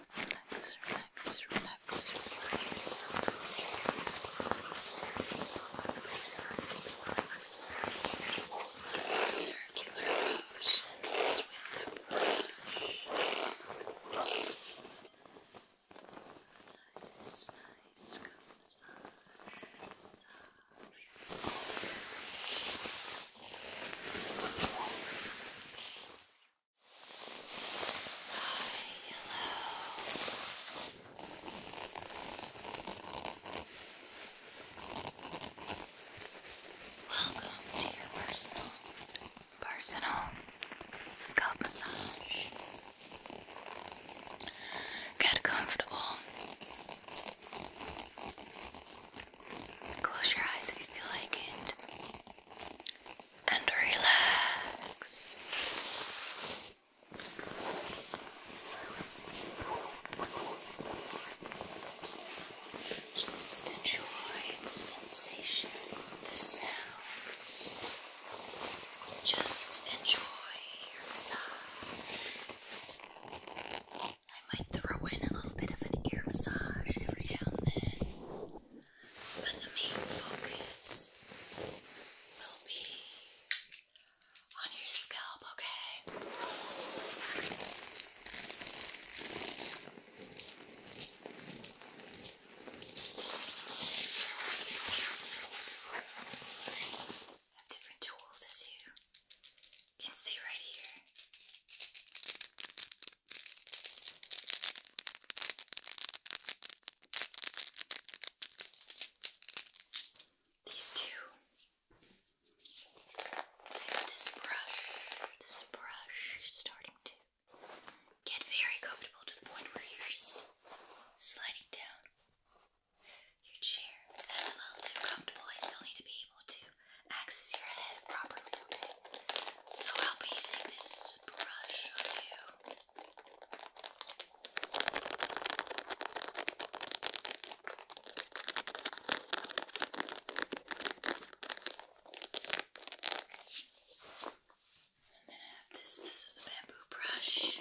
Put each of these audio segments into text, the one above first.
relax, relax, relax. Circular motions with the brush. Nice, nice, come massage, massage. Welcome to your personal, personal scalp massage. Get comfortable. Close your eyes if you feel like it. And relax. Just enjoy the sensation, the sounds. Just enjoy your massage. I might throw in a little bit of an ear massage every now and then, but the main focus will be on your scalp, okay? different tools as you can see right here. These two. this brush. This brush is starting to get very comfortable to the point where you're just sliding down your chair. That's a little too comfortable. I still need to be able to access your head properly, okay? So I'll be using this brush on you. And then I have this, this is a bamboo brush.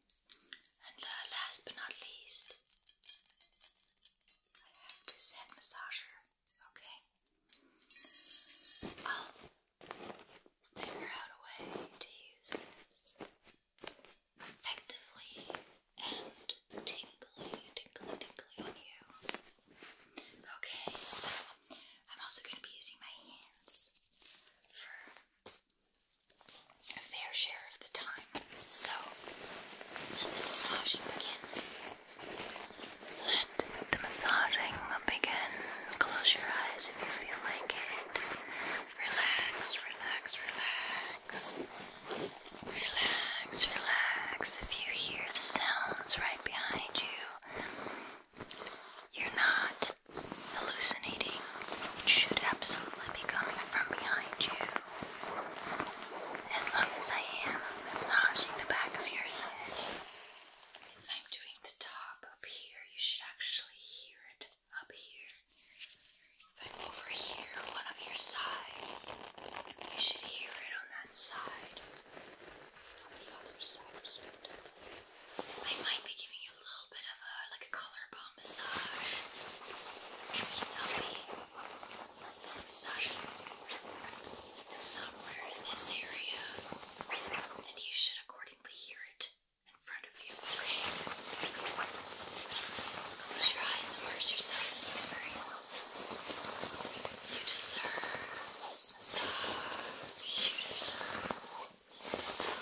And uh, last but not least, I have this head massager. Okay. I'll figure out a way to use this effectively and tingly, tingly, tingly on you. Okay, so I'm also going to be using my hands a fair share of the time. So, let the massaging begin. Let the massaging begin. Close your eyes if you feel like it. Relax, relax, relax. Relax, relax. If you hear the sounds right behind you, you're not hallucinating. It should absolutely be gone from behind you as long as I am massaging the back of your head. If I'm doing the top up here, you should actually hear it up here. If I'm over here, one of your sides, you should hear it on that side, on the other side, I might be giving you a little bit of a like a collarbone massage, which means I'll somewhere in this area, and you should accordingly hear it in front of you, okay? Close your eyes and immerse yourself in the experience. You deserve this massage. You deserve this massage.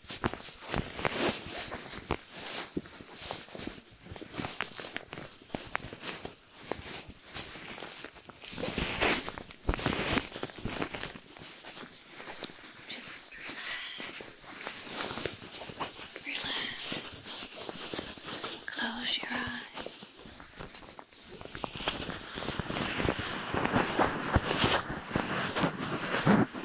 Just relax. Relax. Close your eyes.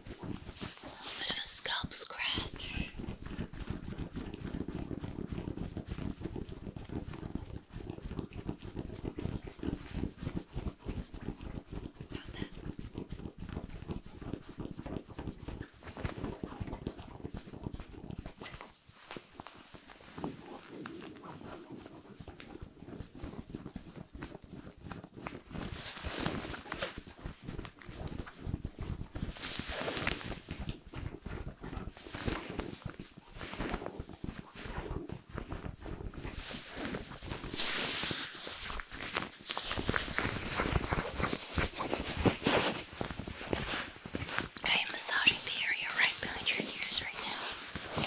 A bit of a scalp scratch. How's that? I am massaging the area right behind your ears right now.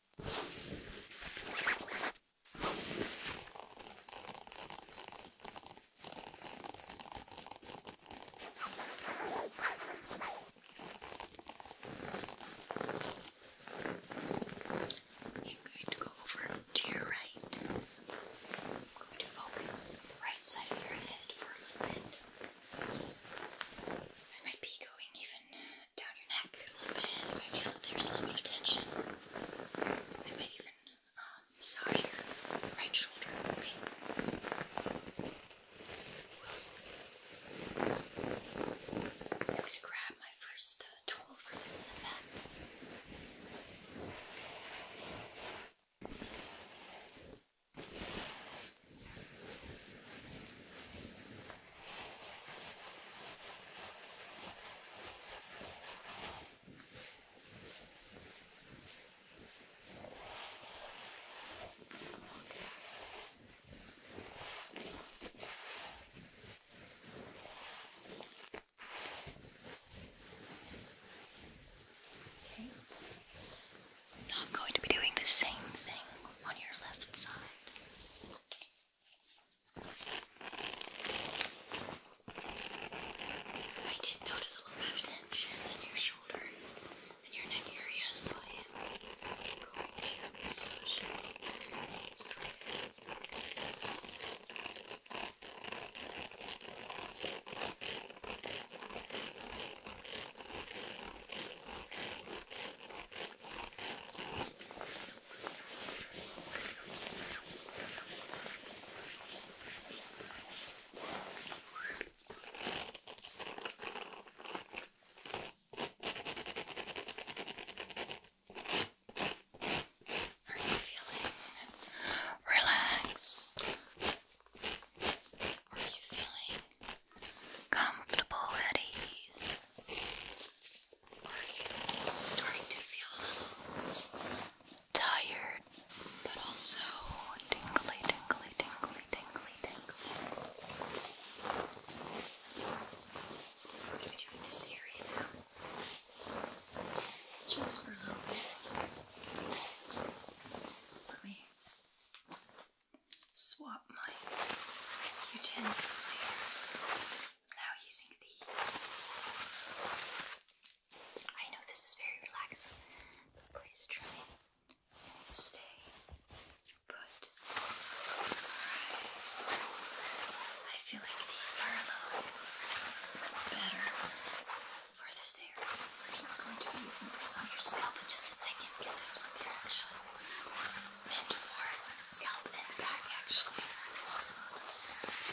I'm going to go over to your right. I'm going to focus on the right side of your head for a little bit. I might be going even down your neck a little bit if I feel that there's a little bit of tension. I might even um, massage your right shoulder, okay? We'll going to grab my first uh, tool for this and I'm going to be doing the same thing on your left side. I did notice a little bit of tension in your shoulder and your neck area, so I am going to massage those things. Okay. Are you feeling relaxed? Are you feeling comfortable at ease? starting to feel a little tired, but also tingly, tingly, tingly, tingly, tingly? I'm going to be doing this area now. Just for a little bit. Let me swap my utensils here. Now using these. I know this is very relaxing, but please try and stay put. I feel like these are a little better for this area. I'm going to be using this on your scalp in just a second because that's what they're actually and for scalp and back actually.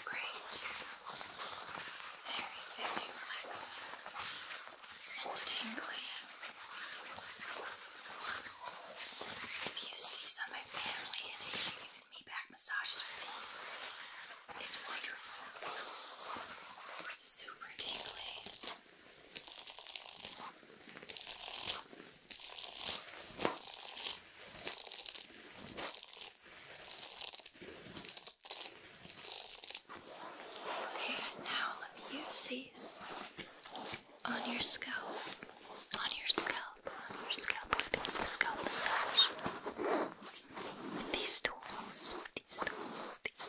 Great. Very, very relaxing and tingly. I've used these on my family and they've given me back massages for these. It's wonderful. Super tingly. Okay, now let me use these on your scalp, on your scalp, on your scalp. I'm doing a scalp massage with these tools, with these tools, with these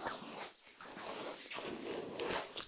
tools.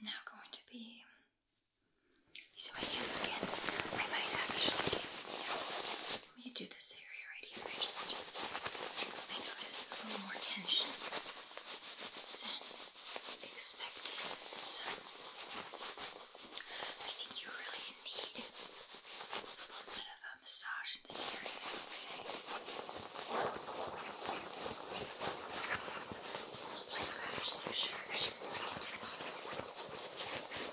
now going to be using my hands again. I might actually, yeah, let me do this area right here. I just I notice a little more tension than expected. So I think you really need a little bit of a massage in this area, okay? Probably your shirt.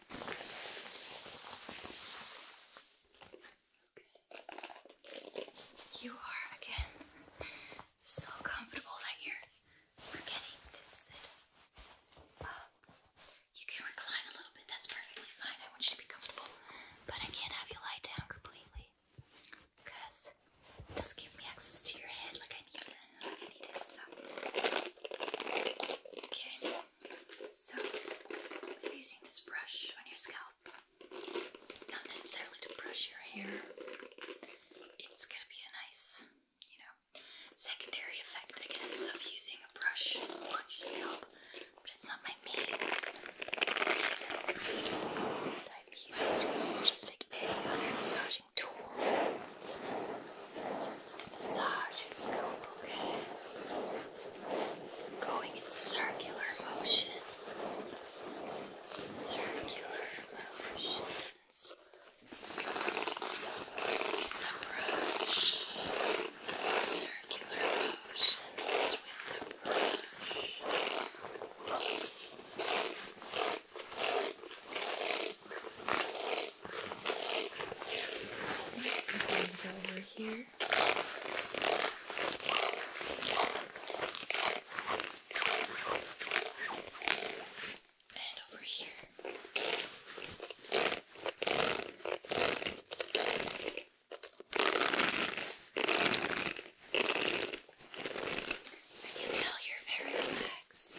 You are again so comfortable that you're forgetting to sit You can recline a little bit, that's perfectly fine. I want you to be comfortable, but I can't have you lie down completely because it doesn't give me access to your head like I need it. Like I need it Okay. So, I'm using this brush on your scalp. Not necessarily to brush your hair. It's gonna be a nice, you know, secondary effect, I guess, of using a brush on your scalp. But it's not my main reason I'm using this, just like any other massaging tool. Just massage your scalp, okay? Going in circular motions. Circular motions. With the brush. Circular motions with the brush. Okay, go over here. And over here. I can tell you're very relaxed.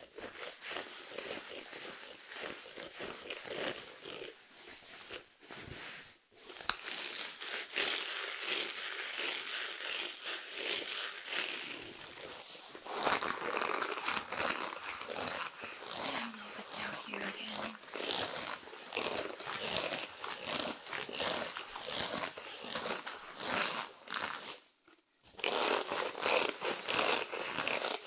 I'm over down here again. Let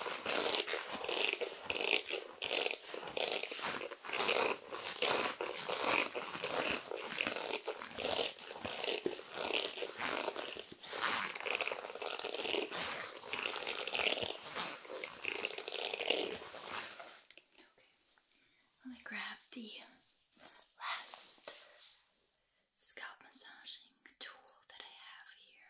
me grab the last scalp massaging tool that I have here.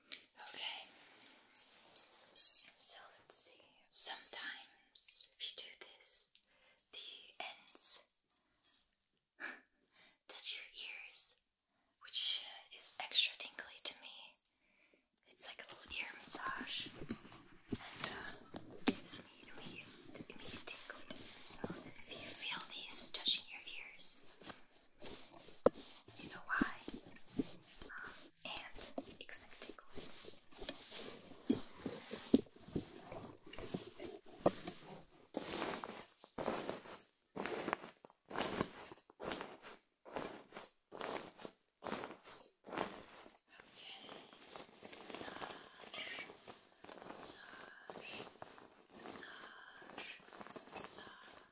Okay, so let's see. Sometimes, if you do this, the ends touch your ears, which uh, is extra tingly to me. It's like a little ear massage, and uh, gives me immediate, immediate tingles. So if you feel these touching your ears, you know why? Um, and expect Okay. Massage. Massage. Massage. Massage.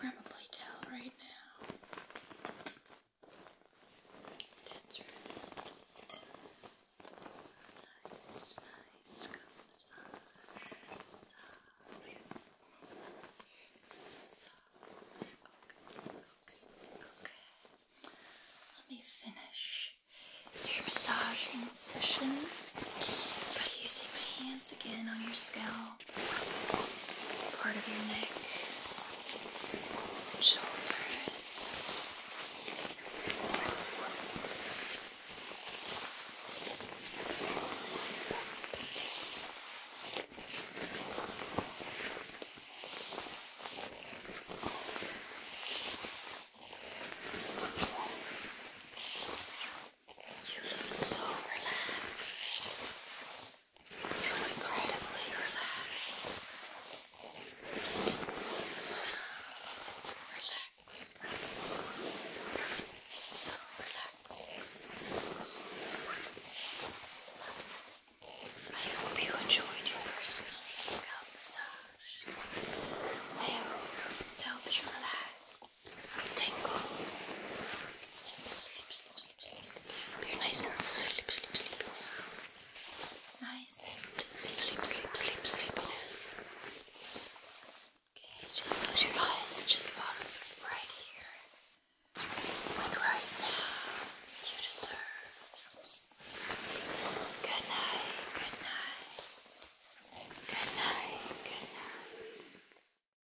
probably tell right now. That's right. okay. Let me finish your massaging session by using my hands again on your scalp part of your neck, shoulders, you look so relaxed so incredibly relaxed. So relaxed. So relaxed. I hope you enjoyed your personal scalp massage. I hope it helped you relax, tingle, and sleep, sleep, sleep sleep, sleep, sleep. You're nice and sleep, sleep, sleep. Nice and sleep, sleep, sleep, sleep. Okay, just close your eyes. Just fall asleep right here. And right now, you deserve some sleep. Good night, good night. Good night, good night.